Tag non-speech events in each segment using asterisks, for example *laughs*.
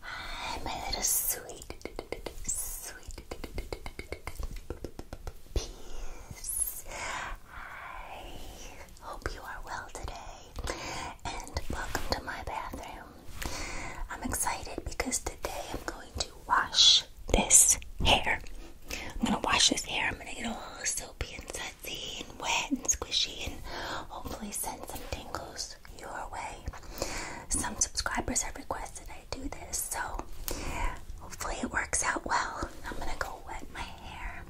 Hi, my little sweet, sweet peas. Hi, hope you are well today, and welcome to my bathroom. I'm excited because today I'm going to wash this hair. I'm gonna wash this hair. I'm gonna get all soapy and sudsy and wet and squishy, and hopefully send some tingles your way. Some subscribers have requested I do this, so hopefully it works out well. I'm gonna go wet my hair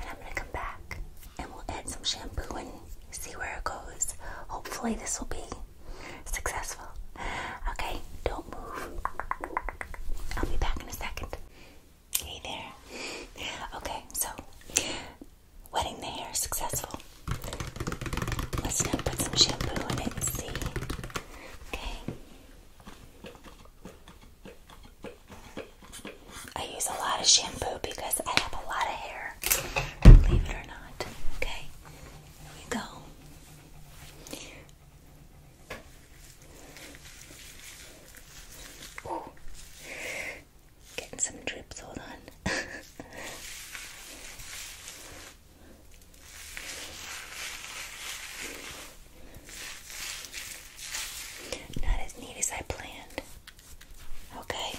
and I'm gonna come back and we'll add some shampoo and see where it goes. Hopefully, this will be successful. Okay, don't move. I'll be back in a second. Hey there. Okay, so wetting the hair successful. Let's now put some shampoo in and see. Okay. I use a lot of shampoo because I have a lot of hair, believe it or not. Okay, here we go. Getting some drips, hold on. *laughs* Not as neat as I planned. Okay.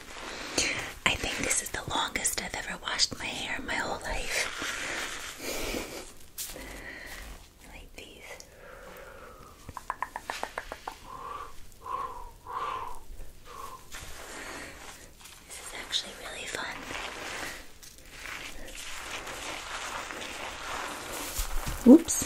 I think this is the longest I've ever washed my hair in my whole life. like these. This is actually really fun. Oops.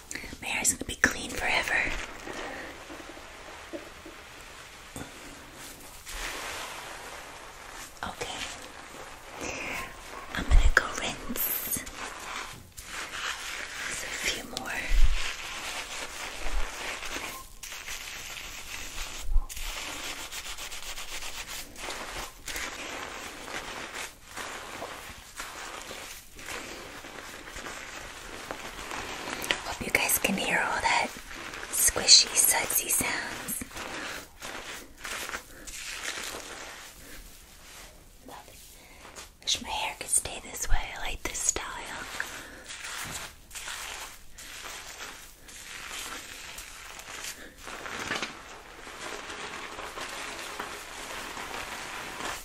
My hair is gonna be clean forever. Okay. I'm gonna go rinse a few more. Hope you guys can hear all that squishy, sudsy sounds. Wish my hair could stay this way. I like this style.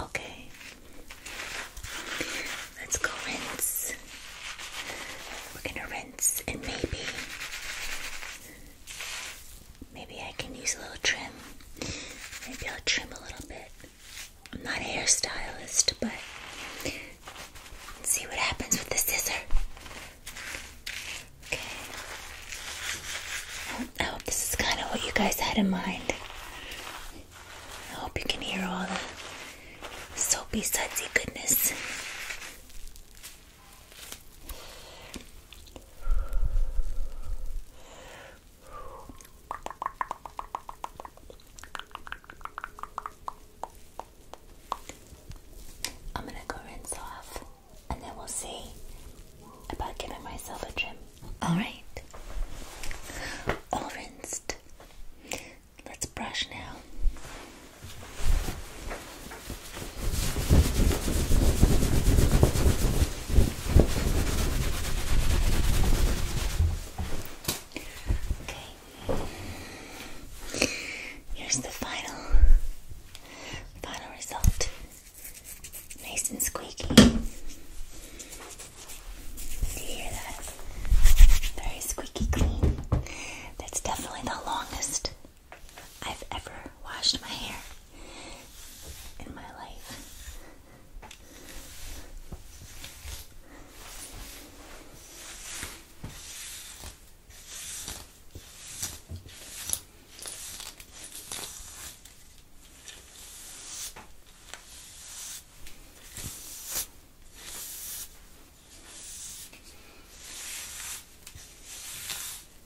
Okay, let's go rinse. We're gonna rinse and maybe Maybe I can use a little trim. Maybe I'll trim a little bit. I'm not a hairstylist, but see what happens with the scissors. Okay. I oh, hope oh, this is kind of what you guys had in mind. I hope you can hear all the soapy, sudsy goodness. I'm gonna go rinse off and then we'll see about giving myself a trim. Alright. All rinsed. Let's brush now. Okay. Here's the final final result. Nice and squeaky. Do you hear that? Very squeaky clean. That's definitely the longest I've ever washed my hair in my life.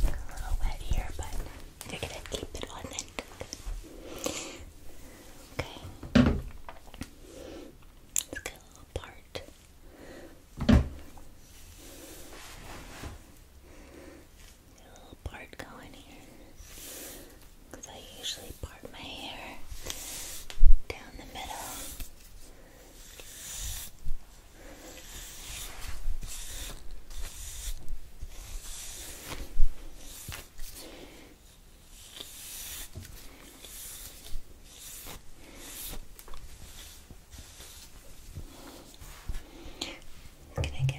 A little wet here, but we're gonna keep it on it. Okay. Let's get a little part. a little part going here because I usually part my hair down the middle. gonna get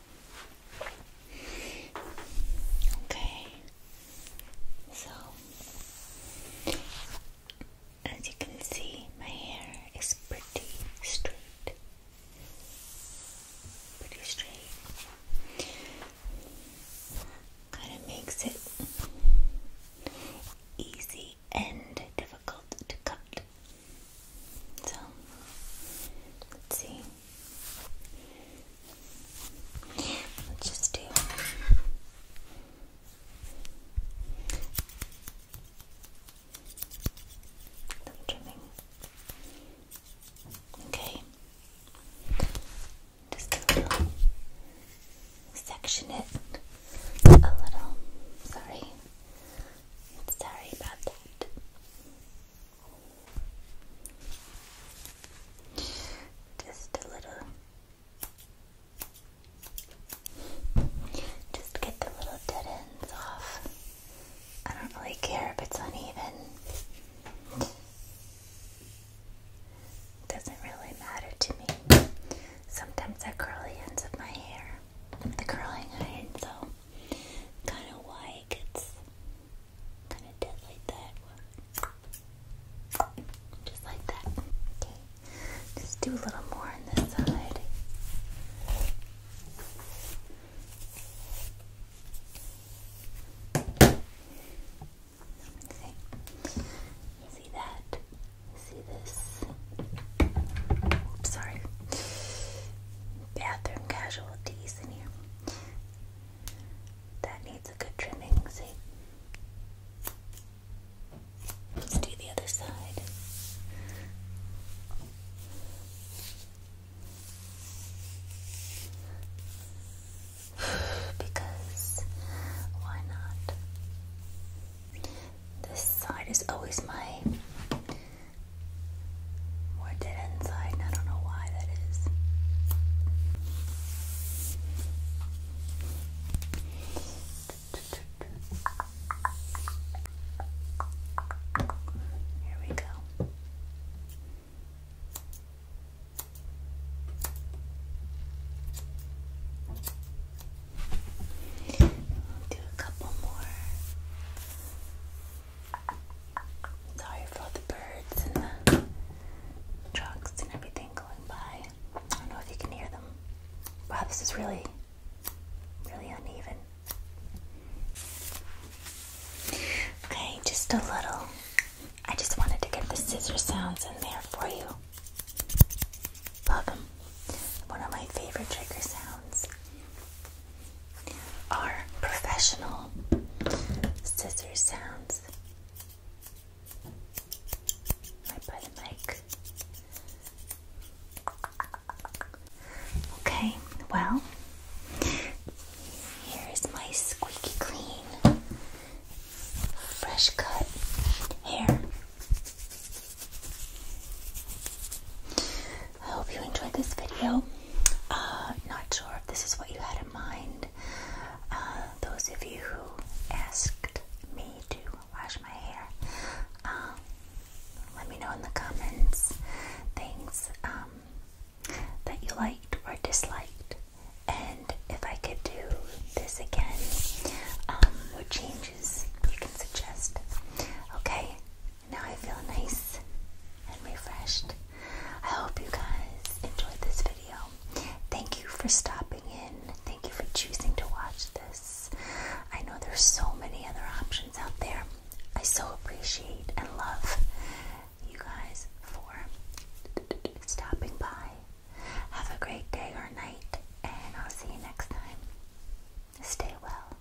Okay, so as you can see, my hair is pretty straight, pretty straight. Kind of makes it easy and difficult to cut. So let's see. Let's just do trimming. Okay. Just a little section it a little. Sorry. Sorry about that. Just a little. Just get the little dead ends off. I don't really care if it's uneven. Doesn't really matter to me. Sometimes I curl the ends of my hair with the curling iron, so kind of why it gets Kind of did like that. Just like that. Okay. Just do a little more on this side. Okay. See that? See this? Oops, sorry. Bathroom casualties in here. That needs a good trimming, see? Let's do the other side. *sighs* because why not? This side is always my more dead end I don't know why that is. Here we go. do a couple more Sorry for all the birds and the trucks and everything going by. I don't know if you can hear them. Wow, this is really, really uneven. Okay, just a little. I just wanted to get the scissor sounds in there for you. Love them. One of my favorite trigger sounds are professional scissor sounds. I by the mic. Okay, well, here is my squeaky clean, fresh cut hair. I hope you enjoyed this video. Uh, not sure if this is what you had in mind. Uh, those of you who asked me to wash my hair, um, let me know in the comments things um, that you liked or disliked, and if I could do this again, um, what changes you can suggest. Okay, now I feel nice and refreshed. I hope you guys enjoyed this video. Thank you for stopping in. Thank you for choosing to watch this. I know there's so many other options out there. I so appreciate and love you guys for stopping by. Have a great day or night, and I'll see you next time. Stay well.